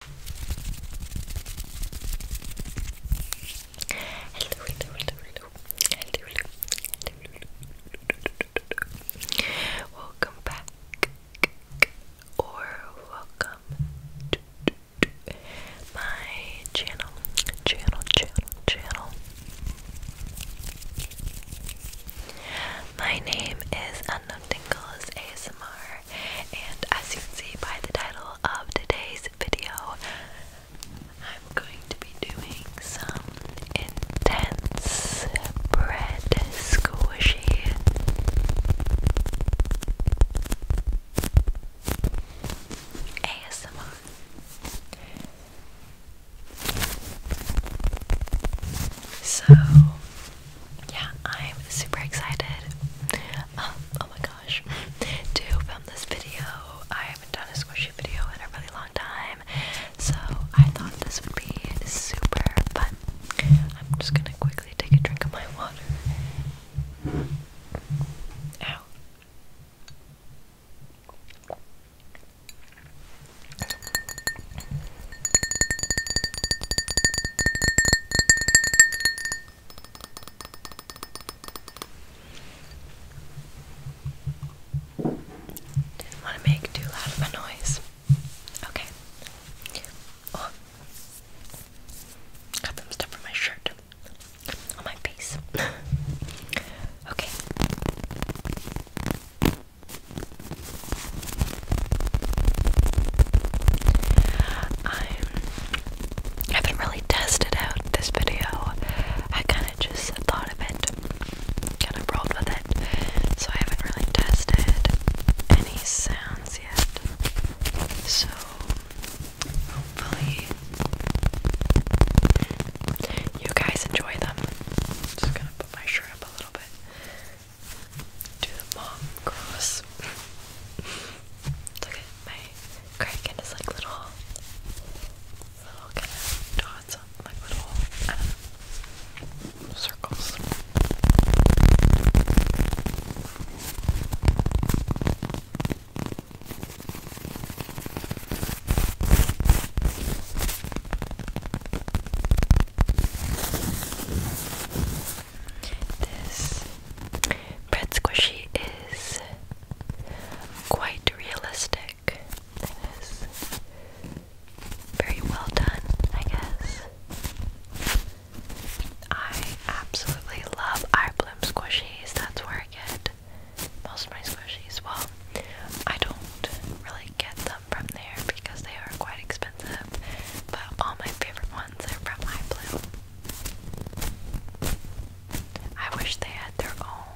Hello, hello, hello, hello, hello, hello. Welcome back, or welcome my channel, channel, channel, channel. My name is Unknown ASMR, and as you can see by the title of today's video, I'm going to be doing some intense bread squishy. ASMR. So, yeah, I'm super excited. Um, oh my gosh, to film this video. I haven't done a squishy video in a really long time, so I thought this would be super fun. I'm just gonna quickly take a drink of my water. Ow. Didn't want to make too loud of a noise. Okay. Oh. Got some stuff from my shirt on my face. okay. I haven't really tested out this video. I kind of just thought of it, kind of rolled with it. So I haven't really tested any sounds yet. So hopefully you guys enjoy them. Just gonna put my shirt up a little bit do mom cross. Look my crack and like little, little kind of dots, on, little, uh, circles. This bread squishy is quite realistic. It is very well done, I guess. I absolutely love eye bloom squishies. That's where I get most of my squishies. Well, I don't really get them from there because they are quite expensive, but all my favorite ones. I wish they had their own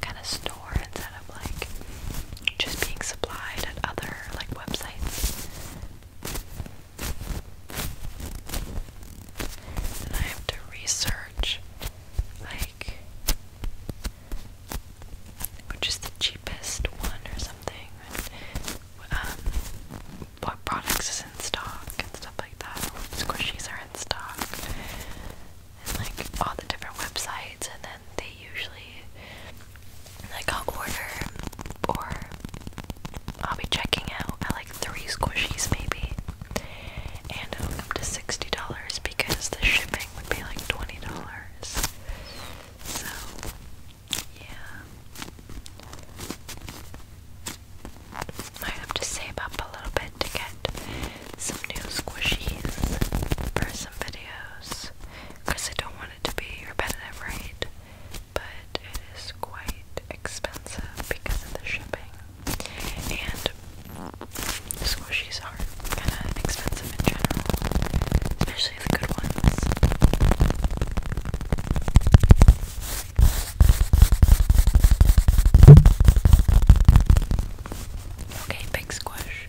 kind of store instead of like just being supplied at other like websites. And I have to research like which is the cheapest one or something. Um, what products is in stock and stuff like that. Squishies are in stock. And like all the different websites and then they usually like I'll order or I'll be checking out I like three squishies maybe. And it'll come to sixty dollars because the shipping would be like twenty dollars. So yeah. Might have to save up a little bit to get some new squishies for some videos. Because I don't want it to be repetitive, right? But it is quite expensive because of the shipping. And squishies are kind of expensive in general, especially especially the good ones. Okay, big squish.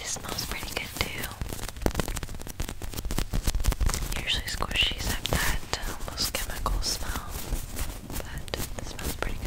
It smells pretty good too. Usually squishies have that uh, almost chemical smell, but this smells pretty good.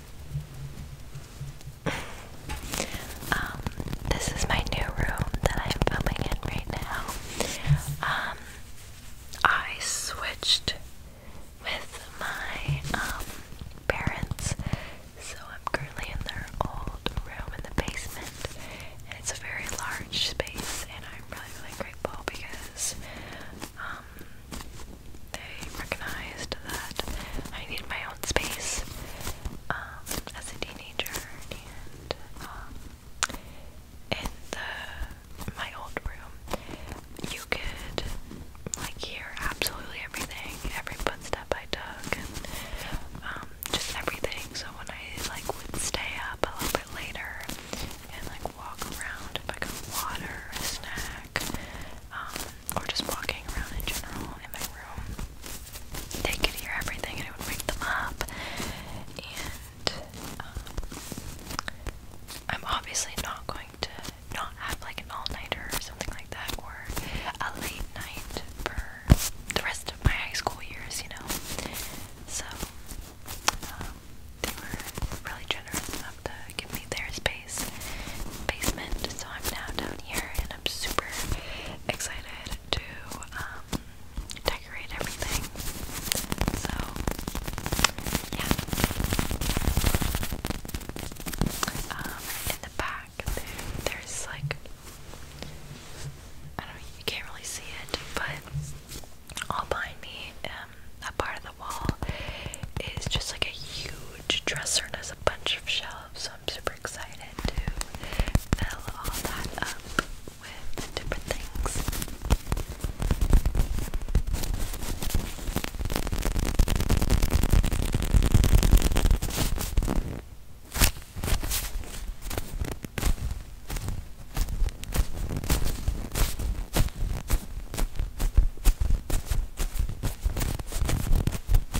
Um, this is my new room that I'm filming in right now. Um, I switched with my um, parents, so I'm currently in their old room in the basement, and it's a very large space, and I'm really, really grateful because they recognized that I need my space um, as a teenager and um, in the my old room you could like hear absolutely everything, every footstep I took um, just everything. So when I like would stay up a little bit later and like walk around if I got water, a snack, um, or just walking around in general in my room, they could hear everything and it would wake them up. And um, I'm obviously not going to not have like an all nighter or something like that, or a late night for the rest of my high school years, you know. So um, they were really generous enough to give me their space basement. So I'm now down here and I'm super excited to um, decorate everything. So, yeah. Um, in the back, there's like, I don't know, you can't really see it, but all behind me, um, part of the wall is just like a huge dresser and there's a bunch of shelves so I'm super excited to fill all that up with different things.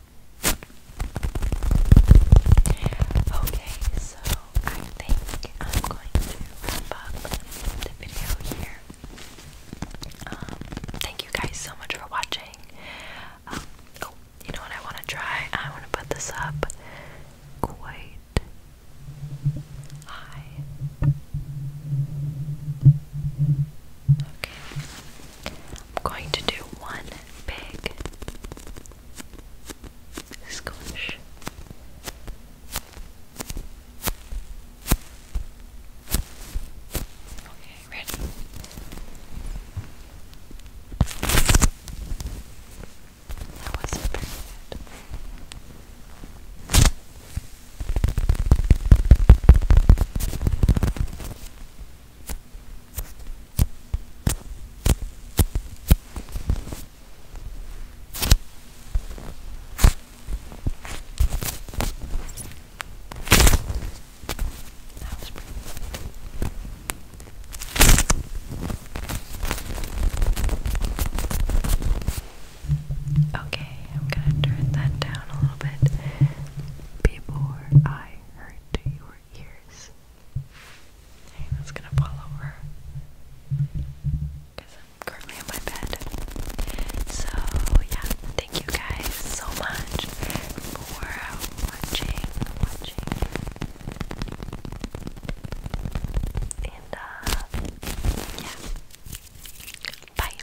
Okay, so I think I'm going to wrap up the video here. Um, thank you guys so much for watching. Um, oh, you know what I want to try? I want to put this up quite high. Okay. I'm going to do one big squish. Okay, ready? That wasn't very good. That was Okay, I'm gonna turn that down a little bit before I I heard to your ears. Hey, gonna fall over. Because I'm currently on my bed. So, yeah, thank you guys so much for watching, And, uh, yeah. Bye.